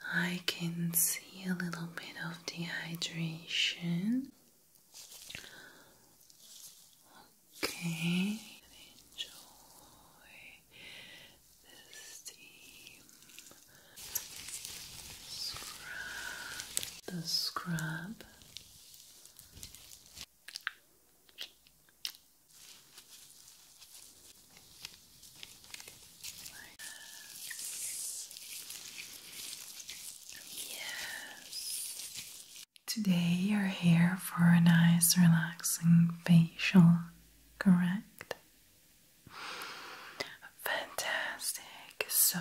I can see a little bit of dehydration. Okay, enjoy the steam. Scrub the scrub. Like Yes. Today you're here for a nice, relaxing facial, correct? Fantastic. So,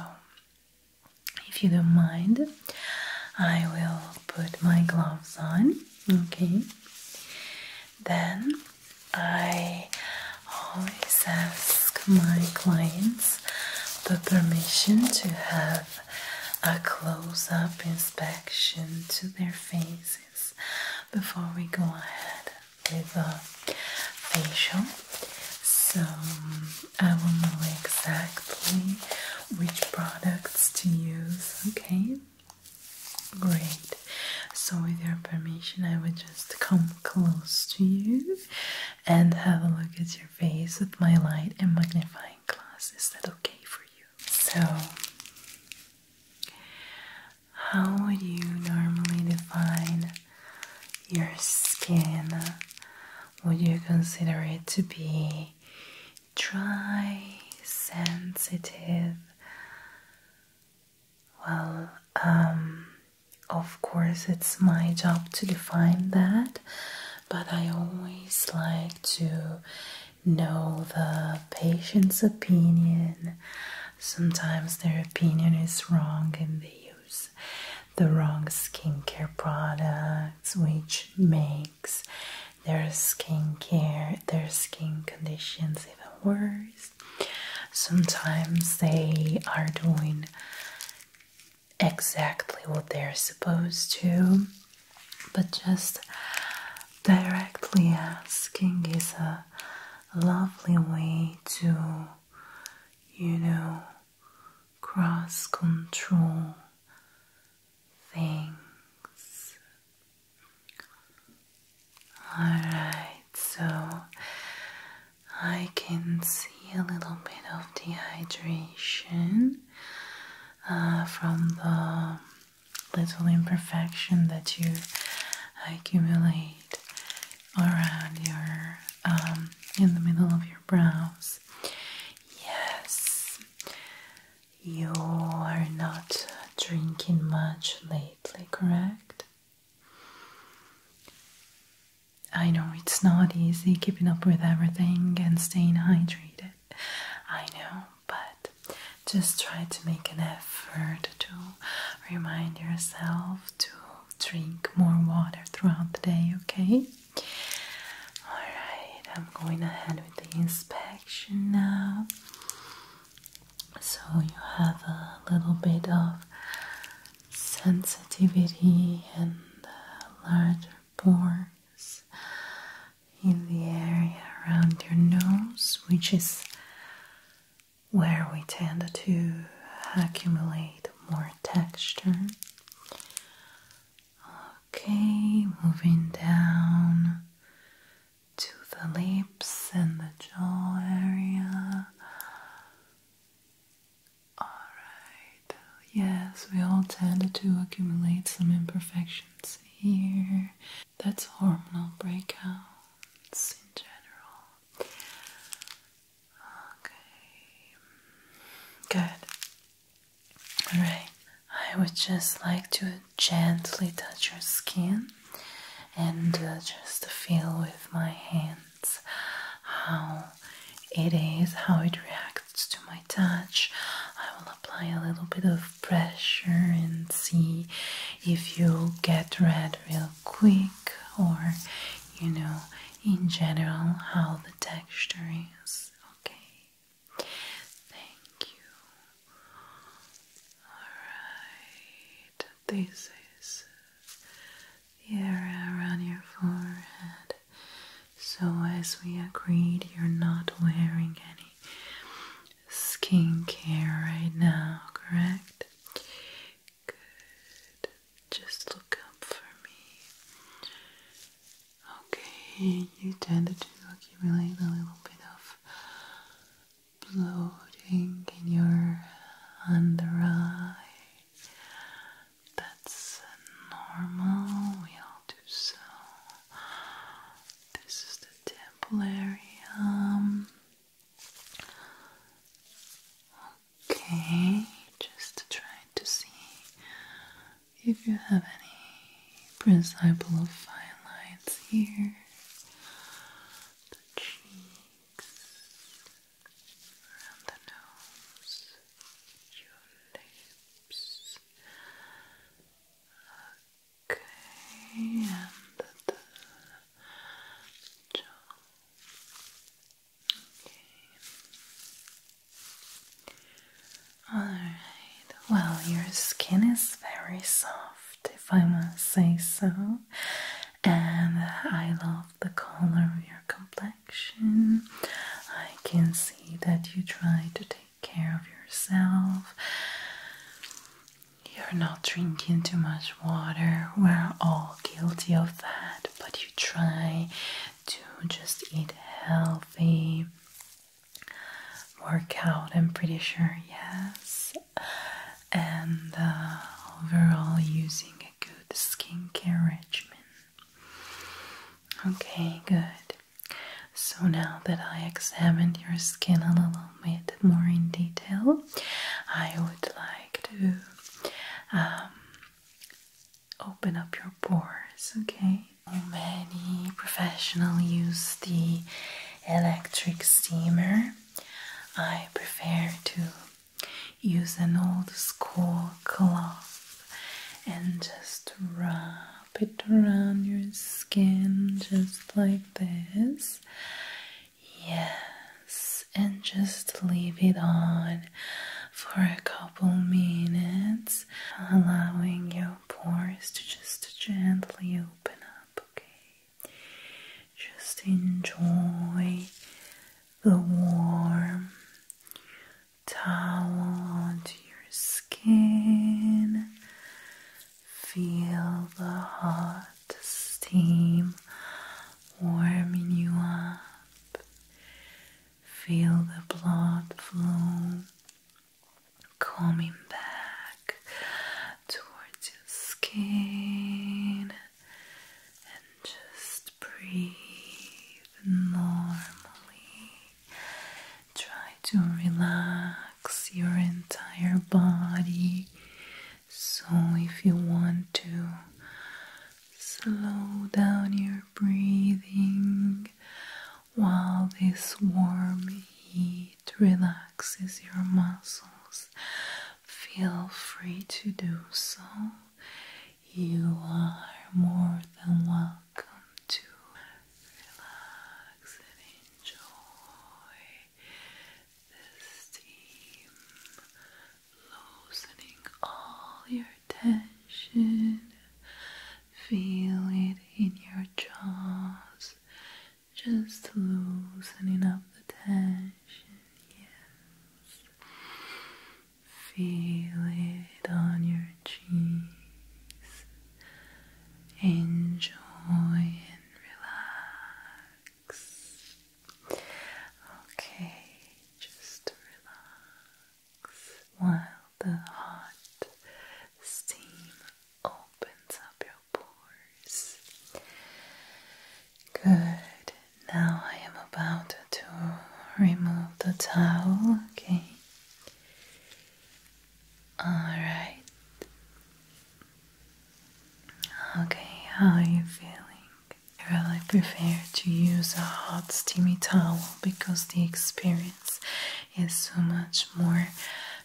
if you don't mind, I will put my gloves on, okay? Then I always ask my clients the permission to have a close up inspection to their faces before we go ahead with the facial. So I will know exactly which products to use, okay? Great. So, with your permission, I would just come close to you and have a look at your face with my light and magnifying glass. Is that okay for you? So, how would you normally define your skin? Would you consider it to be dry, sensitive? Well, um, of course, it's my job to define that, but I always like to know the patient's opinion. Sometimes their opinion is wrong and they use the wrong skincare products, which makes their skincare, their skin conditions even worse. Sometimes they are doing exactly what they're supposed to, but just directly asking is a lovely way to, you know, cross control things Alright, so I can see a little bit of dehydration uh, from the little imperfection that you accumulate around your um, in the middle of your brows. Yes, you are not drinking much lately, correct? I know it's not easy keeping up with everything and staying hydrated. I know, but just try to make an effort to remind yourself to drink more water throughout the day, okay? Alright, I'm going ahead with the inspection now so you have a little bit of sensitivity and uh, larger pores in the area around your nose, which is where we tend to accumulate more texture. Okay, moving down to the lips and the jaw area. Alright, yes, we all tend to accumulate some imperfections here. That's hormonal breakouts in general. Okay, good. Alright, I would just like to gently touch your skin and uh, just feel with my hands how it is, how it reacts to my touch. I will apply a little bit of pressure and see if you get red real quick or you know in general how the texture is. Okay. Thank you. All right. This is the area around your forehead. So, as we agreed, you're not wearing any skincare right now, correct? Good. Just look up for me. Okay, you tend to accumulate a little bit of bloating in your under eye. That's normal. We all do so. This is the temple area. Okay, just trying to see if you have any principle of fine lines here the cheeks, around the nose, your lips. and the jaw. Okay. All right. Well, your skin is very soft if I must say so. And I love the color of your complexion. I can see that you try to take care of yourself. You're not drinking too much water. We're all guilty of that, but you try to just eat healthy, work out, I'm pretty sure, yes and uh, overall using a good skincare regimen. Okay, good. So now that I examined your skin a little bit more in detail, I would like to um, open up your pores, okay? Many professionals use the electric steamer I prefer to use an old school cloth and just wrap it around your skin just like this. Yes, and just leave it on for a couple minutes, allowing your pores to just gently open up, okay? Just enjoy the warm towel onto your skin. Feel the hot steam warming you up. Feel the blood flow Coming back towards your skin and just breathe normally. Try to relax your entire body. So, if you want to slow down your breathing while this warm heat it relaxes your muscles. Feel free to do so. You are more than welcome to relax and enjoy the steam loosening all your tension. Feel it in your jaws, just loosening up the tension, yes. Feel it on your cheeks. Enjoy and relax. Okay, just relax while the hot steam opens up your Good. Now I am about to remove the towel, okay? Alright. Okay, how are you feeling? Well, I prefer to use a hot steamy towel because the experience is so much more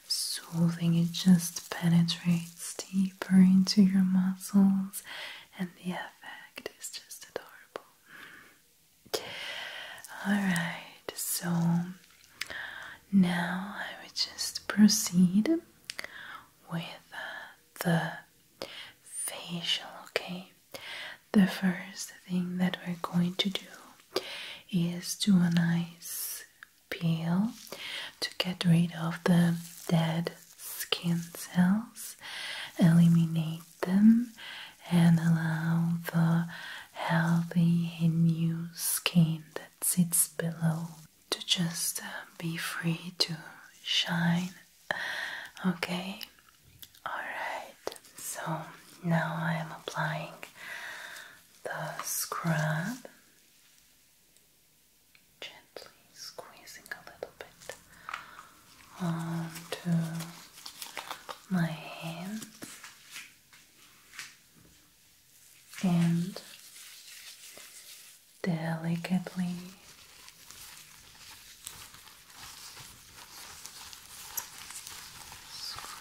soothing. It just penetrates deeper into your muscles, and the effect is just adorable. Mm-hmm. Alright, so now I would just proceed with uh, the facial, okay? The first thing that we're going to do is do a nice peel to get rid of the dead skin cells, eliminate them, and allow the healthy new skin that sits below to just uh, be free to shine. Okay, alright, so now I am applying the scrub Gently squeezing a little bit onto my hands and delicately Scrub.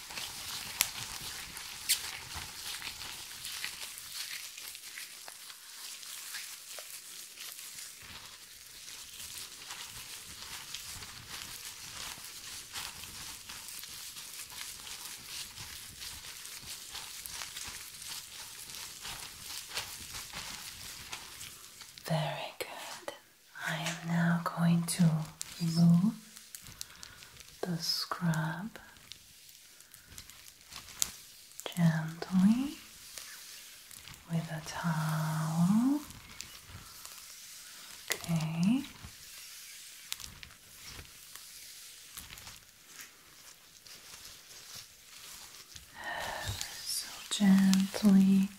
Very good. I am now going to remove the scrub gently with a towel. Okay. So gently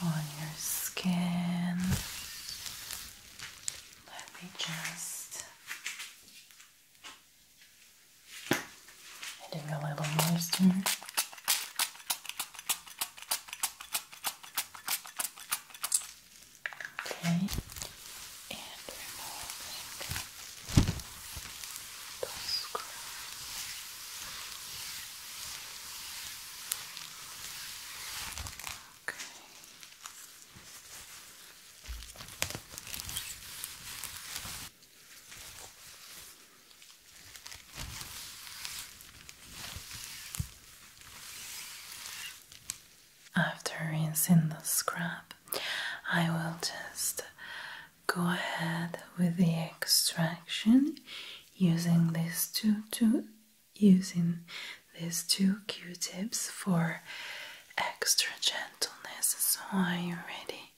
on your skin. Let me just adding a little more, Okay, and removing the screw. After rinsing the scrub, I will just go ahead with the extraction using these two, two using these two q-tips for extra gentleness. So are you ready?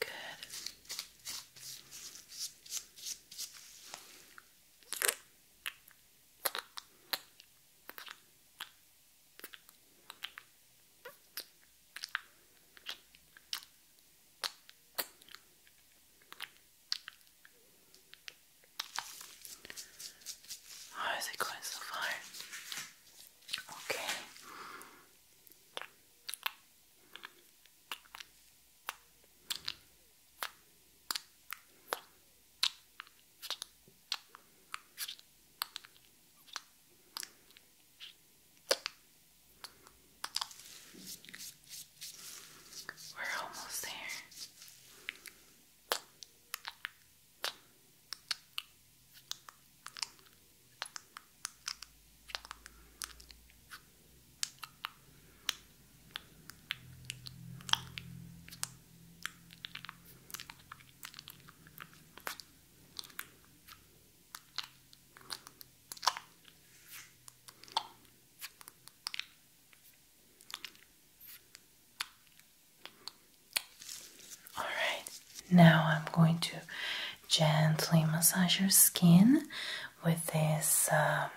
Good. How is it going so far? Okay. We're almost there. All right, now I'm going to gently massage your skin with this um,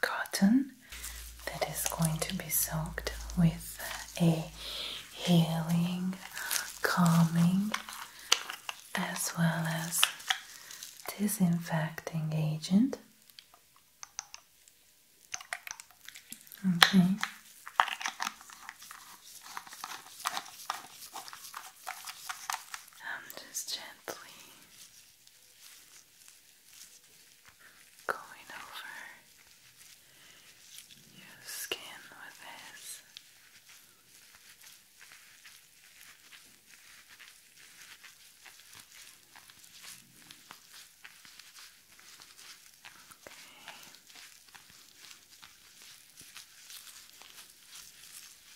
cotton that is going to be soaked with a healing, calming, as well as disinfecting agent. Okay. I'm just gently Going over your skin with this. Okay.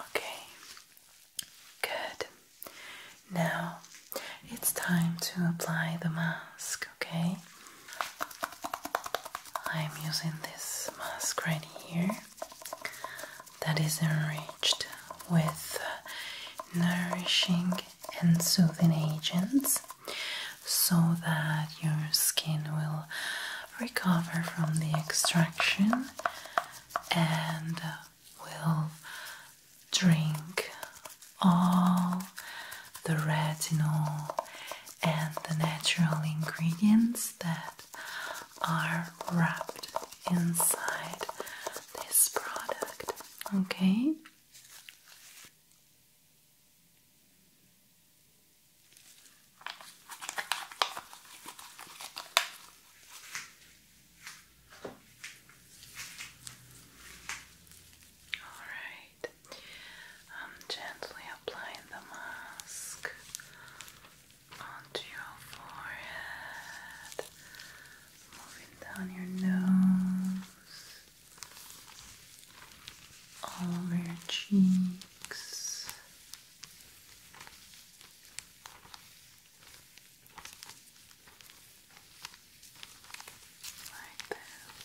Okay, good. Now it's time to apply the mask, okay? I'm using this mask right here that is in red with nourishing and soothing agents so that your skin will recover from the extraction and will drink all the retinol and the natural ingredients that are wrapped inside this product. Okay. All right. I'm gently applying the mask onto your forehead moving down your nose, all over your cheeks. Like this.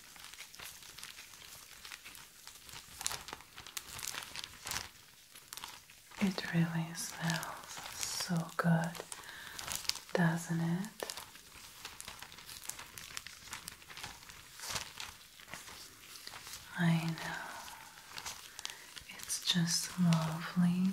It really smells so good, doesn't it? I know. It's just lovely.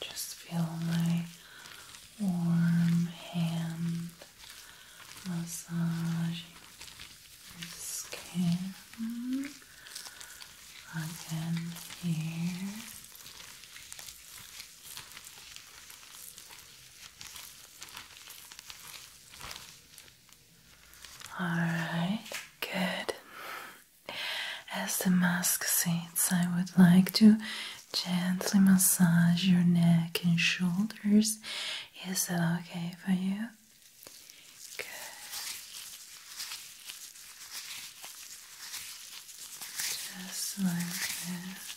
Just feel my warm hand massaging your skin again here. All right, good. As the mask sits, I would like to gently massage your neck and shoulders. Is that okay for you? Good. Just like this.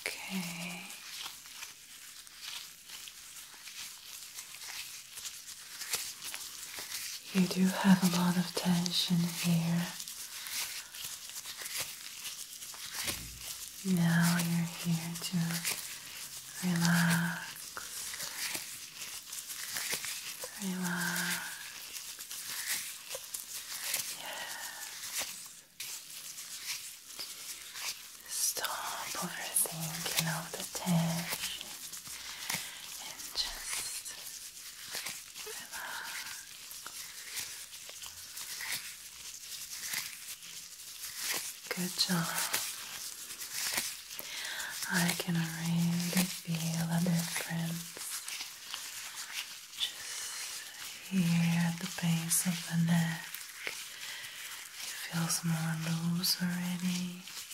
Okay. You do have a lot of tension here. Now you're here to relax. Relax. Yes. Stop overthinking all the tension and just relax. Good job. I can already feel a difference just here at the base of the neck. It feels more loose already.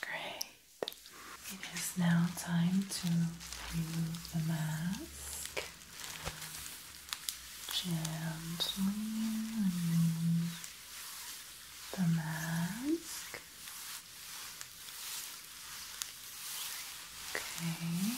Great. It is now time to remove the mask. Gently remove the mask. Okay.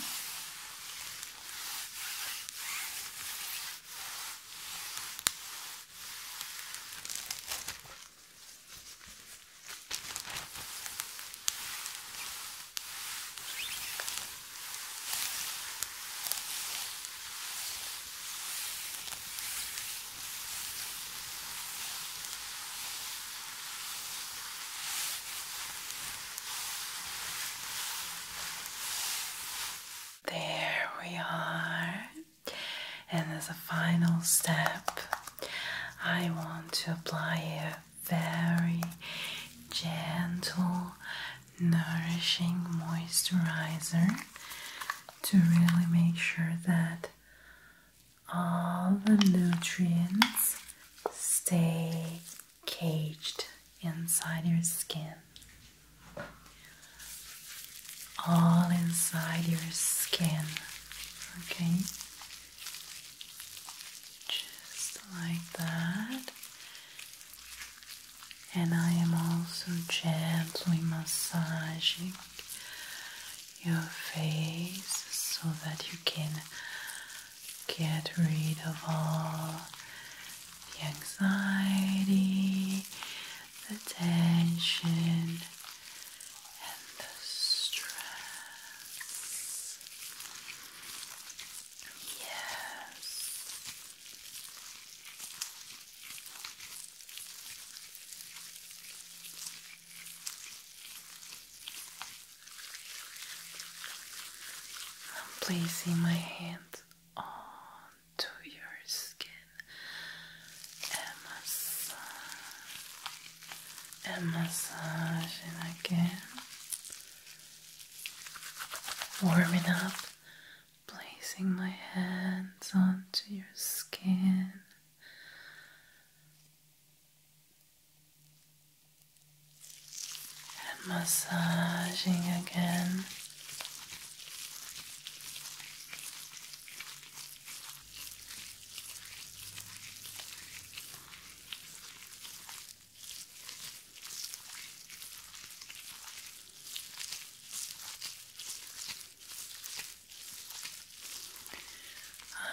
There we are. And as a final step, I want to apply very gentle, nourishing moisturizer to really make sure that all the nutrients stay caged inside your skin. All inside your skin. Okay, just like that. And I am also gently massaging your face so that you can get rid of all the anxiety, the tension, and the stress. Yes. I'm placing my hand onto your skin and massaging again warming up, placing my hands onto your skin. And massaging again.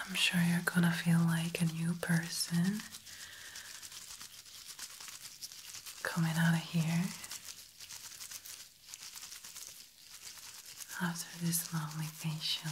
I'm sure you're gonna feel like a new person coming out of here after this long vacation.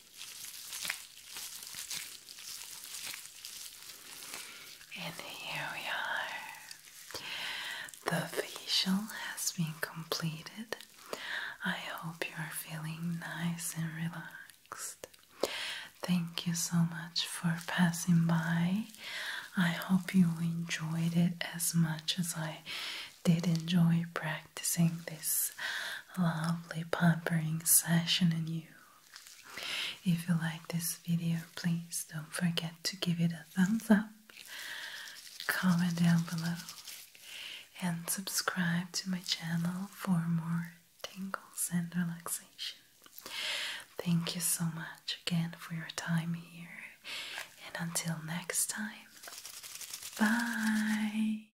And here we are. The facial has been completed. I hope you are feeling nice and relaxed. Thank you so much for passing by. I hope you enjoyed it as much as I did enjoy practicing. To sing this lovely pampering session in you. If you like this video, please don't forget to give it a thumbs up, comment down below, and subscribe to my channel for more tingles and relaxation. Thank you so much again for your time here, and until next time, bye!